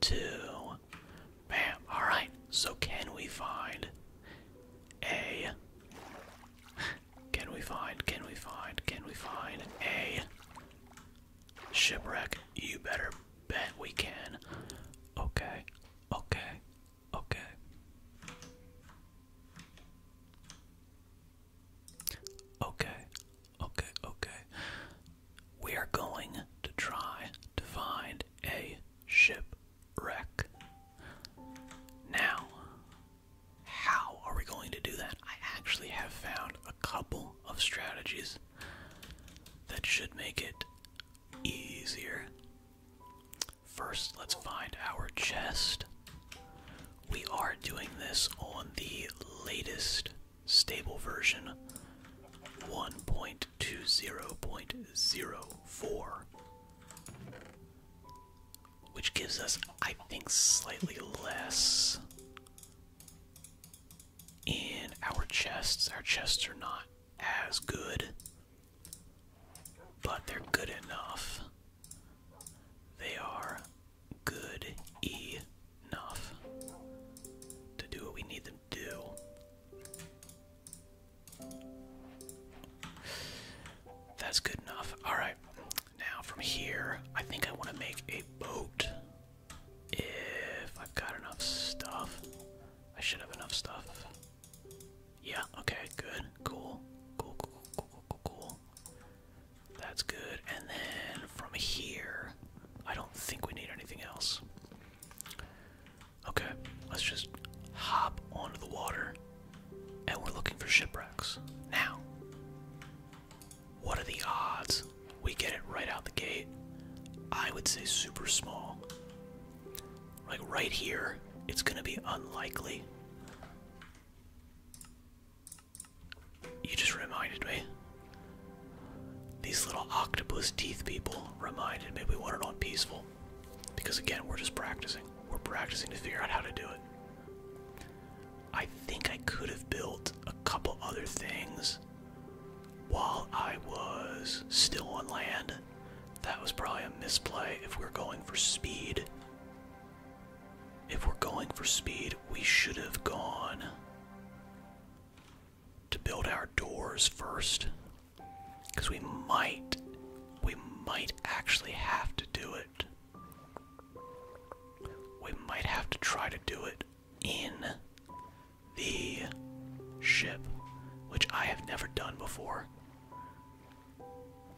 F2. Bam. Alright, so can we find a. Can we find, can we find, can we find a shipwreck? You better bet we can. Okay, okay, okay. Okay, okay, okay. We are going to try to find a shipwreck. Now, how are we going to do that? I actually have found a couple of strategies that should make it easier. First, let's find our chest. We are doing this on the latest stable version 1.20.04, which gives us, I think, slightly less in our chests. Our chests are not as good, but they're good enough. They are good enough to do what we need them that's good enough. Alright, now from here, I think I want to make a boat. If I've got enough stuff, I should have enough stuff. Yeah, okay, good, cool, cool, cool, cool, cool, cool. That's good. And then from here, I don't think we need anything else. Okay, let's just hop onto the water and we're looking for shipwrecks. Now, what are the odds we get it right out the gate? I would say super small. Like right here, it's gonna be unlikely. You just reminded me. These little octopus teeth people reminded me we wanted on peaceful. Because again, we're just practicing. We're practicing to figure out how to do it. I think I could have built a couple other things while I was still on land. That was probably a misplay if we're going for speed. If we're going for speed, we should have gone to build our doors first because we might we might actually have to do it we might have to try to do it in the ship which i have never done before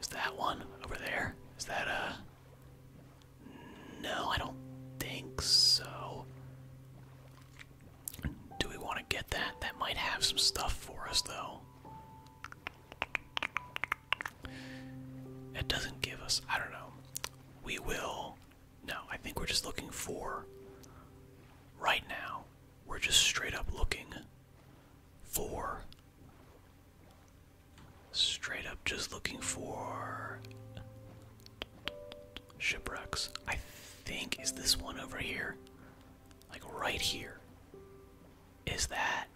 is that one over there is that a uh, no i don't think so do we want to get that? That might have some stuff for us, though. It doesn't give us. I don't know. We will. No, I think we're just looking for. Right now, we're just straight up looking for. Straight up just looking for Shipwrecks. I think is this one over here. Like right here. Is that?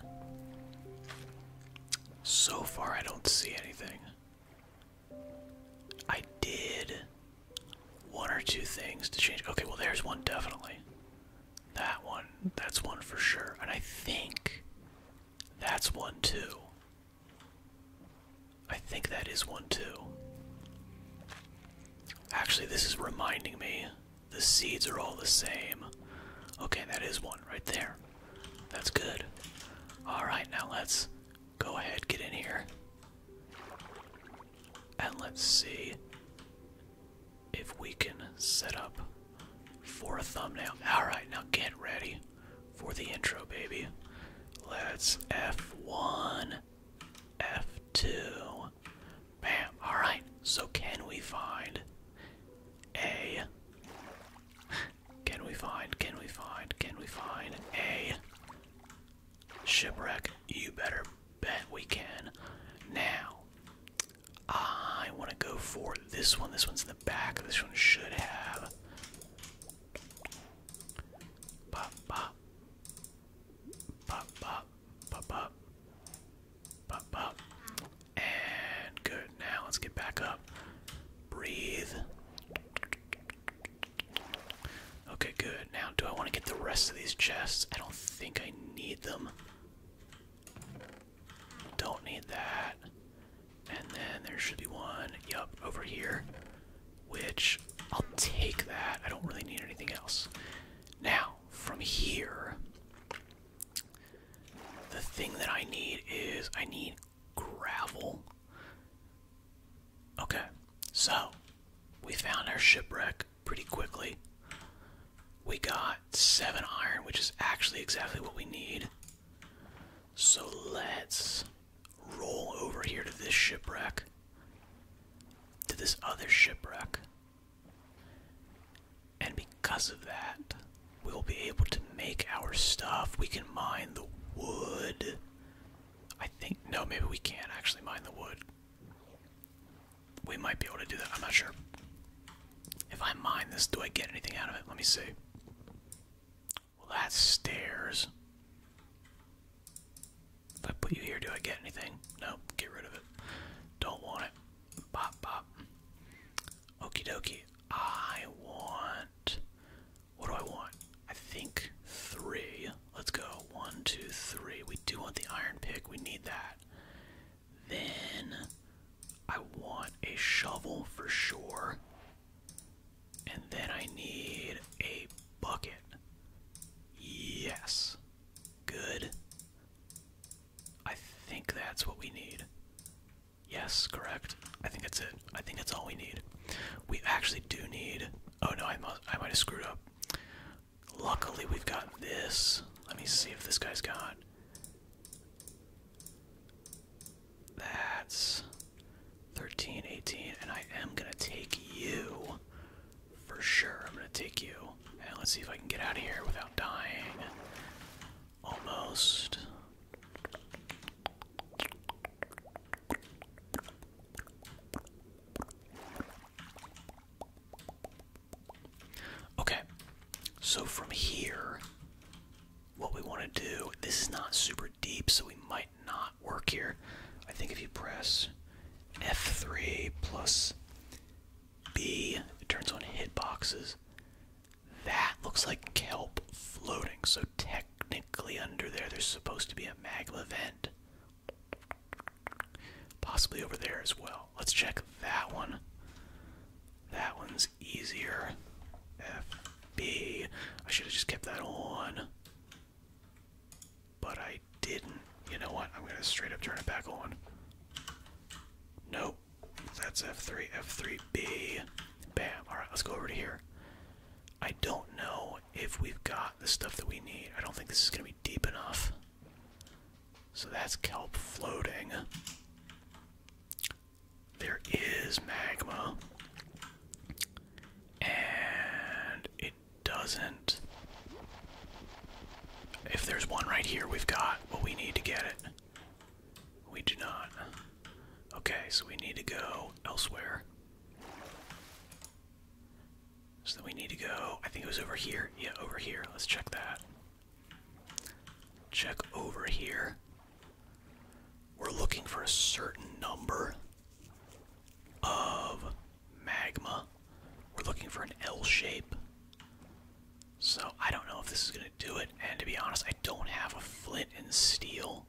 So far I don't see anything. I did one or two things to change. Okay, well there's one definitely. That one, that's one for sure. And I think that's one too. I think that is one too. Actually, this is reminding me the seeds are all the same. Okay, that is one right there. That's good. Alright, now let's go ahead, get in here. And let's see if we can set up for a thumbnail. Alright, now get ready for the intro, baby. Let's F1. F2. Bam. Alright, so can we find a. Can we find, can we find, can we find a shipwreck? You better bet we can. Now, I want to go for this one. This one's in the back. This one should have. Pop, pop, Pop, pop, pop, pop. Pop, pop. And good. Now let's get back up. Breathe. Okay, good. Now, do I want to get the rest of these chests? I don't think I need them. Don't need that. And then there should be one. Yup, over here which I'll take that. I don't really need anything else. Now, from here, the thing that I need is I need gravel. Okay, so we found our shipwreck pretty quickly. We got seven iron, which is actually exactly what we need. So let's roll over here to this shipwreck, to this other shipwreck. And because of that, we'll be able to make our stuff. We can mine the wood. I think, no, maybe we can't actually mine the wood. We might be able to do that, I'm not sure. If I mine this, do I get anything out of it? Let me see. Well, that's stairs. If I put you here, do I get anything? No, get rid of it. Don't want it. Pop, pop. Okie dokie. I want. What do I want? I think three. Let's go. One, two, three. We do want the iron pick. We need that. Then I want a shovel for sure. And then I need a bucket. Yes. Good. I think that's what we need. Yes, correct. I think that's it. I think that's all we need. We actually do need. Oh no, I must. I might have screwed up. Luckily, we've got this. Let me see if this guy's got. That's 13, and I am gonna take you for sure I'm gonna take you. And let's see if I can get out of here without dying. Almost. Okay, so from here, what we want to do, this is not super deep, so we might not work here. I think if you press F3 plus B, it turns on hit boxes. That looks like kelp floating, so technically under there there's supposed to be a maglev vent. Possibly over there as well. Let's check that one. That one's easier. F B. I should have just kept that on. But I didn't. You know what? I'm gonna straight up turn it back on. Nope. That's F3, F3B. Bam. Alright, let's go over to here. I don't know if we've got the stuff that we need. I don't think this is gonna be deep enough. So that's kelp floating. There is magma. And it doesn't. If there's one right here, we've got what we need to get it. We do not. Okay, so we need to go elsewhere. So then we need to go. I think it was over here. Yeah, over here. Let's check that. Check over here. We're looking for a certain number of magma. We're looking for an L shape. So I don't know if this is going to do it. And to be honest, I don't have a flint and steel.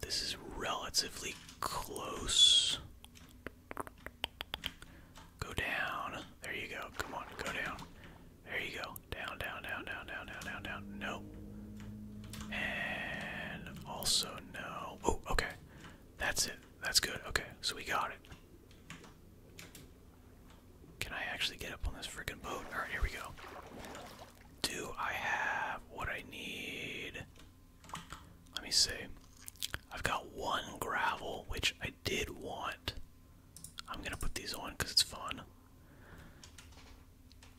This is relatively close. Go down. There you go. Come on, go down. There you go. Down, down, down, down, down, down, down, down. No. And also no. Oh, okay. That's it. That's good. Okay, so we got it. Can I actually get up on this freaking boat? Alright, here we go. Do I have what I need? Let me see. I've got one gravel, which I did want. I'm gonna put these on because it's fun.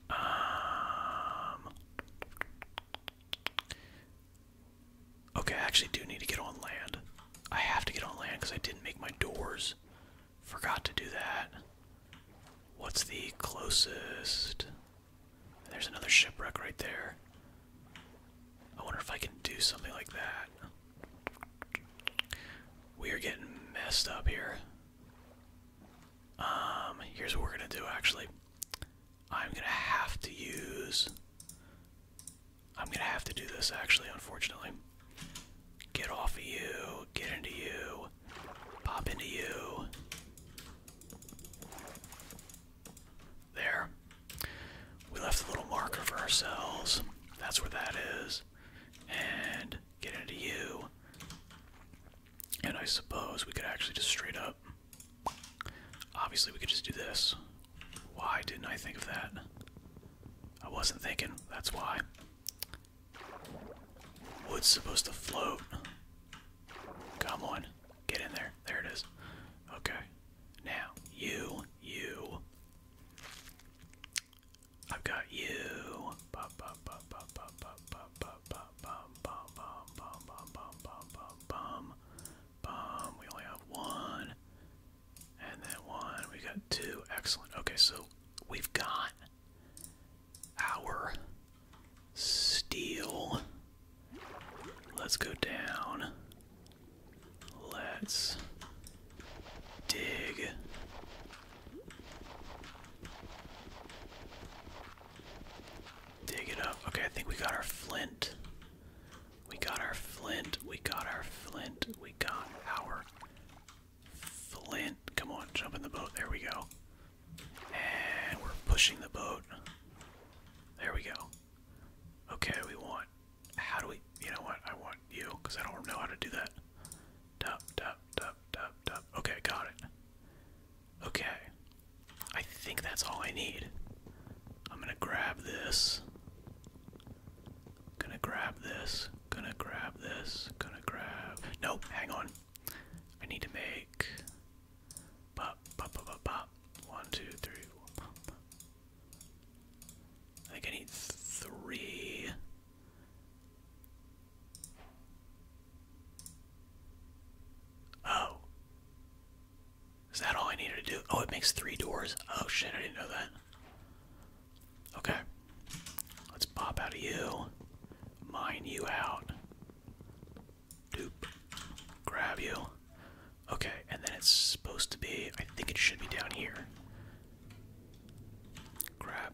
Um, Okay, I actually do need to get on land. I have to get on land because I didn't make my doors. Forgot to do that. What's the closest? There's another shipwreck right there. I wonder if I can do something like that. We are getting messed up here. Um, here's what we're gonna do actually. I'm gonna have to use. I'm gonna have to do this actually, unfortunately. Get off of you, get into you, pop into you. There. We left a little marker for ourselves. That's where that is. And get into you. And I suppose we could actually just straight up Obviously, we could just do this. Why didn't I think of that? I wasn't thinking, that's why. Wood's supposed to float. Come on, get in there. There it is. Okay. Now, you, you. I've got you bum, bum, bum, bum, bum, bum, bum, bum, bum, We only have one. And then one. We got two. Excellent. Okay, so we've got our steel. Let's go down. Let's dig. Dig it up. Okay, I think we got our flint. We got our flint. We got our flint. We got our flint. Come on, jump in the boat. There we go. And we're pushing the boat. There we go. Okay, we want. How do we. You know what? I want you, because I don't know how to do that. Dup, dup, dup, dup, dup. Okay, got it. Okay. I think that's all I need. I'm gonna grab this. Gonna grab this. Gonna grab this. Gonna grab. Nope, hang on. I need to make. Pop, pop, pop, pop, pop. One, two, three, four, I think I need three. Oh. Is that all I needed to do? Oh, it makes three doors. Oh shit, I didn't know that. Okay. Let's pop out of you. Mine you out. Doop. Grab you. Okay, and then it's supposed to be, I think it should be down here. Grab.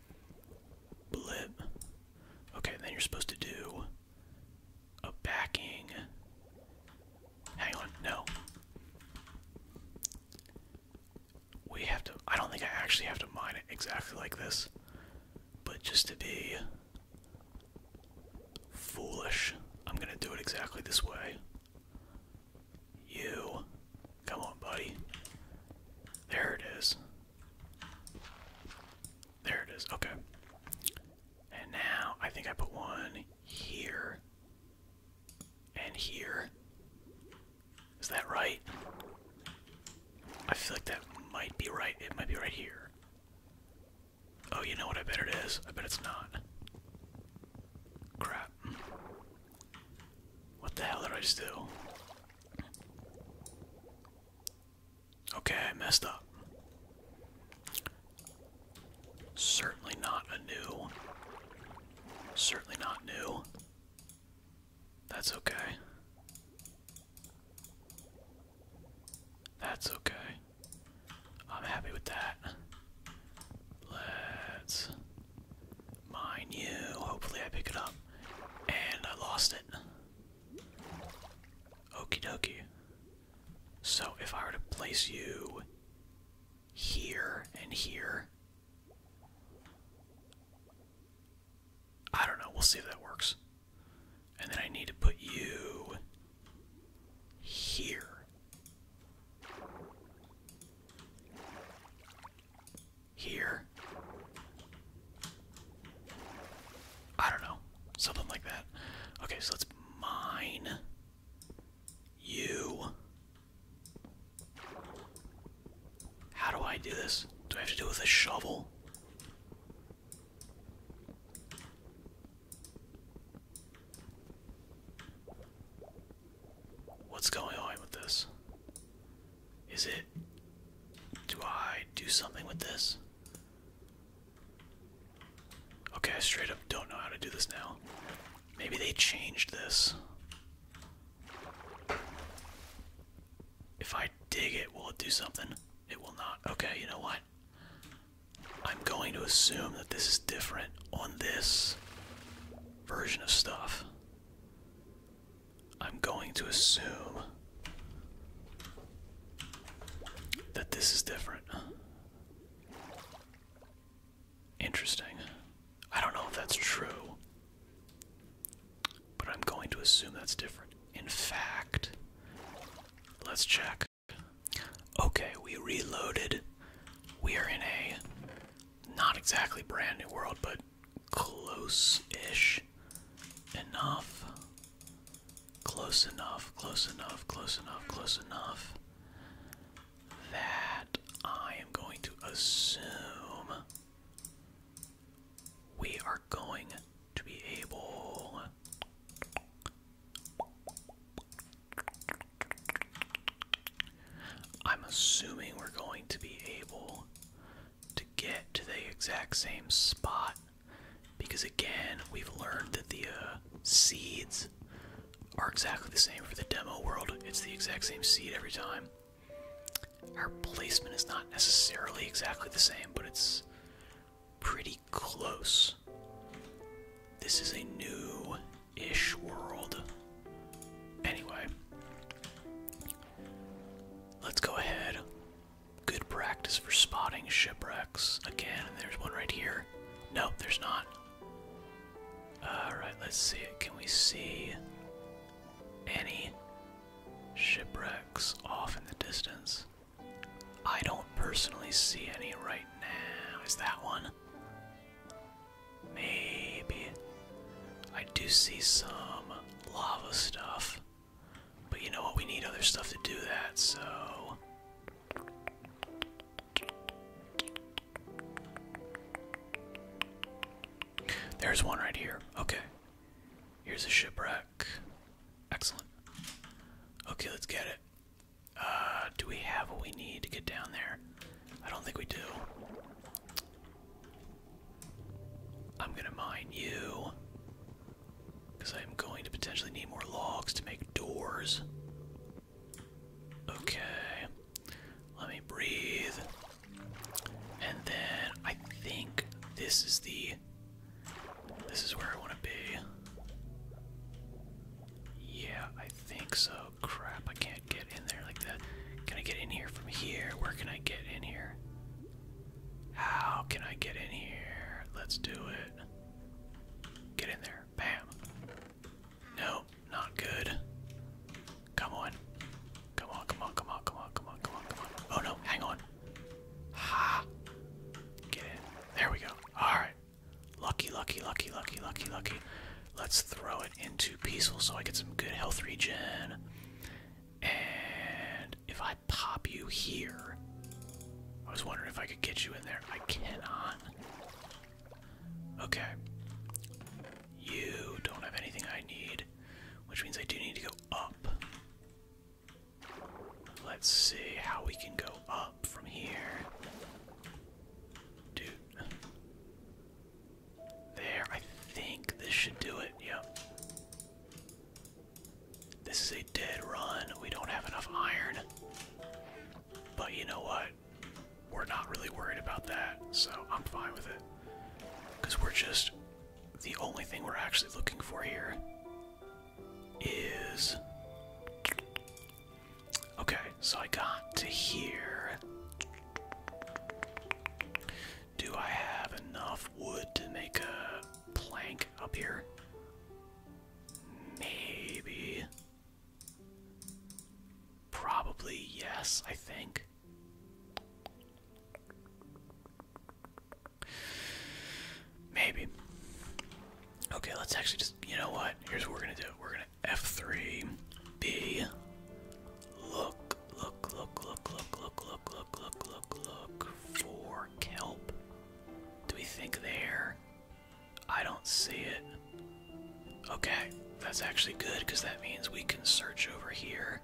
blip. Okay, then you're supposed to do a backing. Hang on, no. We have to, I don't think I actually have to mine it exactly like this, but just to be foolish, I'm gonna do it exactly this way. You, come on, buddy. There it is. There it is. Okay. And now I think I put one here and here. Is that right? I feel like that might be right. It might be right here. Oh, you know what? I bet it is. I bet it's not. Crap. What the hell did I just do? Okay, I messed up. Certainly not a new. Certainly not new. That's okay. That's okay. I'm happy with that. Let's mine you. Hopefully, I pick it up. And I lost it. Okie dokie. So if I were to place you here and here. I don't know, we'll see if that works. And then I need to put you here here. I don't know. Something like that. Okay, so let's mine you. How do I do this? Do I have to do with a shovel? What's going on with this? Is it. Do I do something with this? Okay, I straight up don't know how to do this now. Maybe they changed this. If I dig it, will it do something? It will not. Okay, you know what? I'm going to assume that this is different on this version of stuff. I'm going to assume that this is different. Interesting. I don't know if that's true, but I'm going to assume that's different. In fact, let's check. Okay, we reloaded. We are in a not exactly brand new world, but close-ish enough. Close enough, close enough, close enough, close enough. That I am going to assume we are going to be able I'm assuming we're going to be able to get to the exact same spot because again we've learned that the uh, seeds are exactly the same for the demo world it's the exact same seed every time our placement is not necessarily exactly the same but it's pretty close this is a new ish world anyway let's go ahead Good practice for spotting shipwrecks. Again, there's one right here. Nope, there's not. Alright, let's see it. Can we see any shipwrecks off in the distance? I don't personally see any right now. Is that one? Maybe. I do see some lava stuff. But you know what? We need other stuff to do that, so. There's one right here. Okay. Here's a shipwreck. Excellent. Okay, let's get it. Uh, do we have what we need to get down there? I don't think we do. I'm gonna mine you. Because I'm going to potentially need more logs to make doors. Okay. Let me breathe. And then I think this is the. This is where I want to be. Yeah, I think so. Crap, I can't get in there like that. Can I get in here from here? Where can I get in here? How can I get in here? Let's do it. Get in there. Bam. Nope, not good. Come on. Come on, come on, come on, come on, come on, come on, come on. Oh no, hang on. Ha! Get in. There we go. Alright. Lucky, lucky, lucky, lucky, lucky, lucky. Let's throw it into peaceful so I get some good health regen. And if I pop you here. I was wondering if I could get you in there. I cannot. Okay. You don't have anything I need, which means I do need to go up. Let's see how we can go up from here. Dude. There, I think this should do it. Yep. This is a dead run. We don't have enough iron. But you know what? We're not really worried about that, so I'm fine with it. Because we're just. The only thing we're actually looking for here is. Okay, so I got to here. Do I have enough wood to make a plank up here? Maybe. Probably yes, I think. Maybe. Okay, let's actually just, you know what? Here's what we're gonna do. We're gonna F3, B. Look, look, look, look, look, look, look, look, look, look, for kelp. Do we think there? I don't see it. Okay, that's actually good because that means we can search over here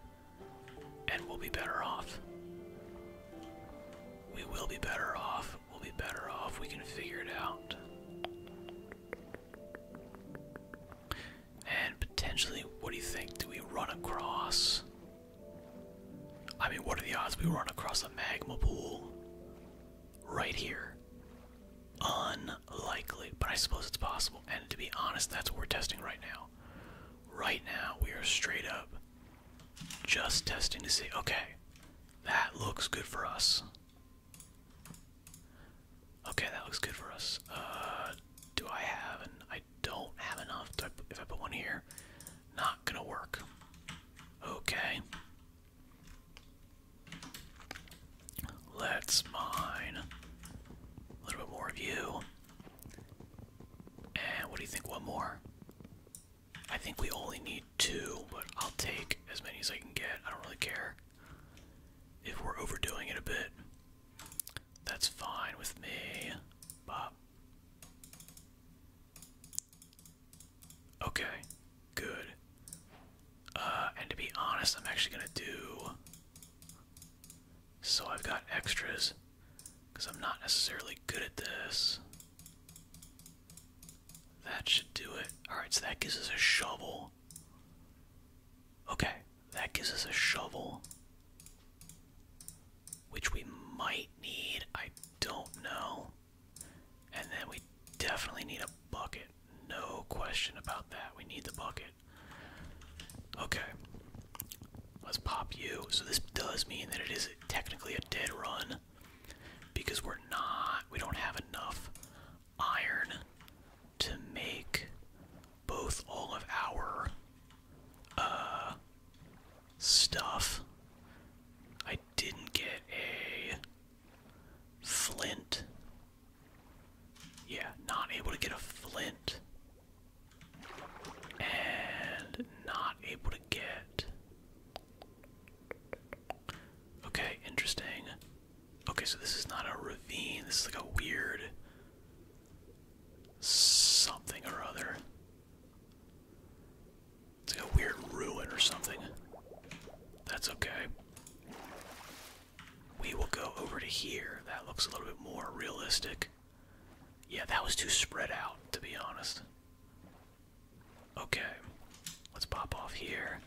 and we'll be better off. We will be better off. We'll be better off. We can figure it out. And potentially, what do you think? Do we run across? I mean, what are the odds we run across a magma pool right here? Unlikely, but I suppose it's possible. And to be honest, that's what we're testing right now. Right now, we are straight up just testing to see okay, that looks good for us. Okay, that looks good for us. Uh, do I have an don't have enough. I, if I put one here, not gonna work. Okay. Let's mine a little bit more of you. And what do you think? One more? I think we only need two, but I'll take as many as I can get. I don't really care if we're overdoing it a bit. That's fine with me. Bop. Okay, good. Uh, and to be honest, I'm actually gonna do. So I've got extras, because I'm not necessarily good at this. That should do it. Alright, so that gives us a shovel. Okay, that gives us a shovel. Which we might need, I don't know. And then we definitely need a bucket. No question about that. We need the bucket. Okay. Let's pop you. So this does mean that it is technically a dead run because we're not, we don't have enough iron to make both all of our uh, stuff. I didn't get a flint. Yeah, not able to get a flint. And not able to get. Okay, interesting. Okay, so this is not a ravine. This is like a weird something or other. It's a weird ruin or something. That's okay. We will go over to here. That looks a little bit more realistic. Yeah, that was too spread out, to be honest. Okay, let's pop off here.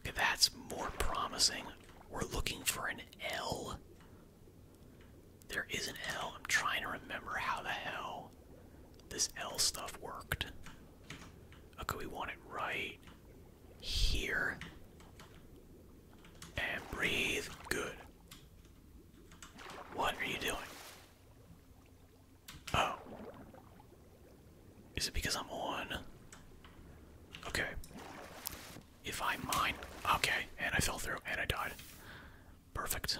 Okay, that's more promising. We're looking for an L. There is an L. I'm trying to remember how the hell this L stuff worked. Okay, we want it right here. And breathe. Good. What are you doing? Oh. Is it because I'm on? Okay. If I mine. Okay, and I fell through and I died. Perfect.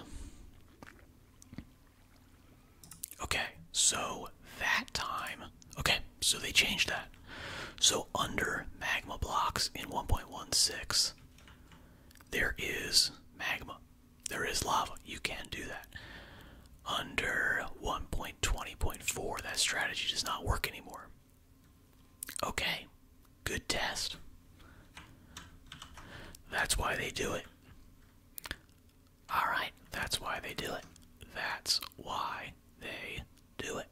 Okay, so that time. Okay, so they changed that. So under magma blocks in 1.16, there is magma. There is lava. You can do that. Under 1.20.4, that strategy does not work anymore. Okay, good test. That's why they do it. Alright, that's why they do it. That's why they do it.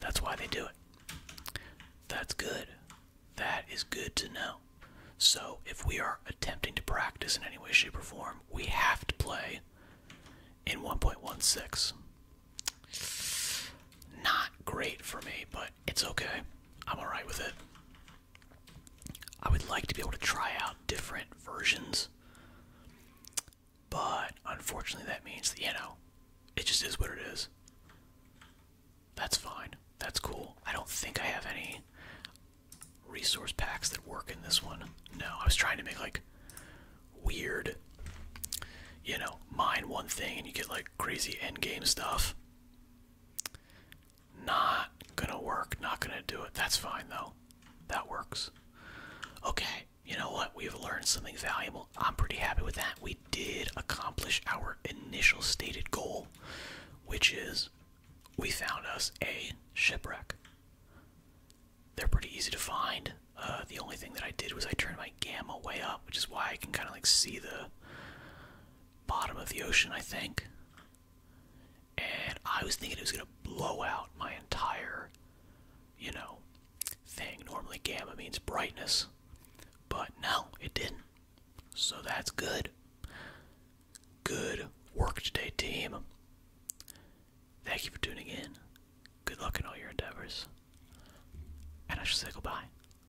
That's why they do it. That's good. That is good to know. So, if we are attempting to practice in any way, shape, or form, we have to play in 1.16. Not great for me, but it's okay. I'm alright with it. I would like to be able to try out different versions, but unfortunately, that means that, you know, it just is what it is. That's fine. That's cool. I don't think I have any resource packs that work in this one. No, I was trying to make like weird, you know, mine one thing and you get like crazy end game stuff. Not gonna work, not gonna do it. That's fine though. That works. Okay, you know what? We've learned something valuable. I'm pretty happy with that. We did accomplish our initial stated goal, which is we found us a shipwreck. They're pretty easy to find. Uh, the only thing that I did was I turned my gamma way up, which is why I can kind of like see the bottom of the ocean, I think. And I was thinking it was going to blow out my entire, you know, thing. Normally, gamma means brightness, but no, it didn't. So that's good. Good work today, team. Thank you for tuning in. Good luck in all your endeavors. And I shall say goodbye.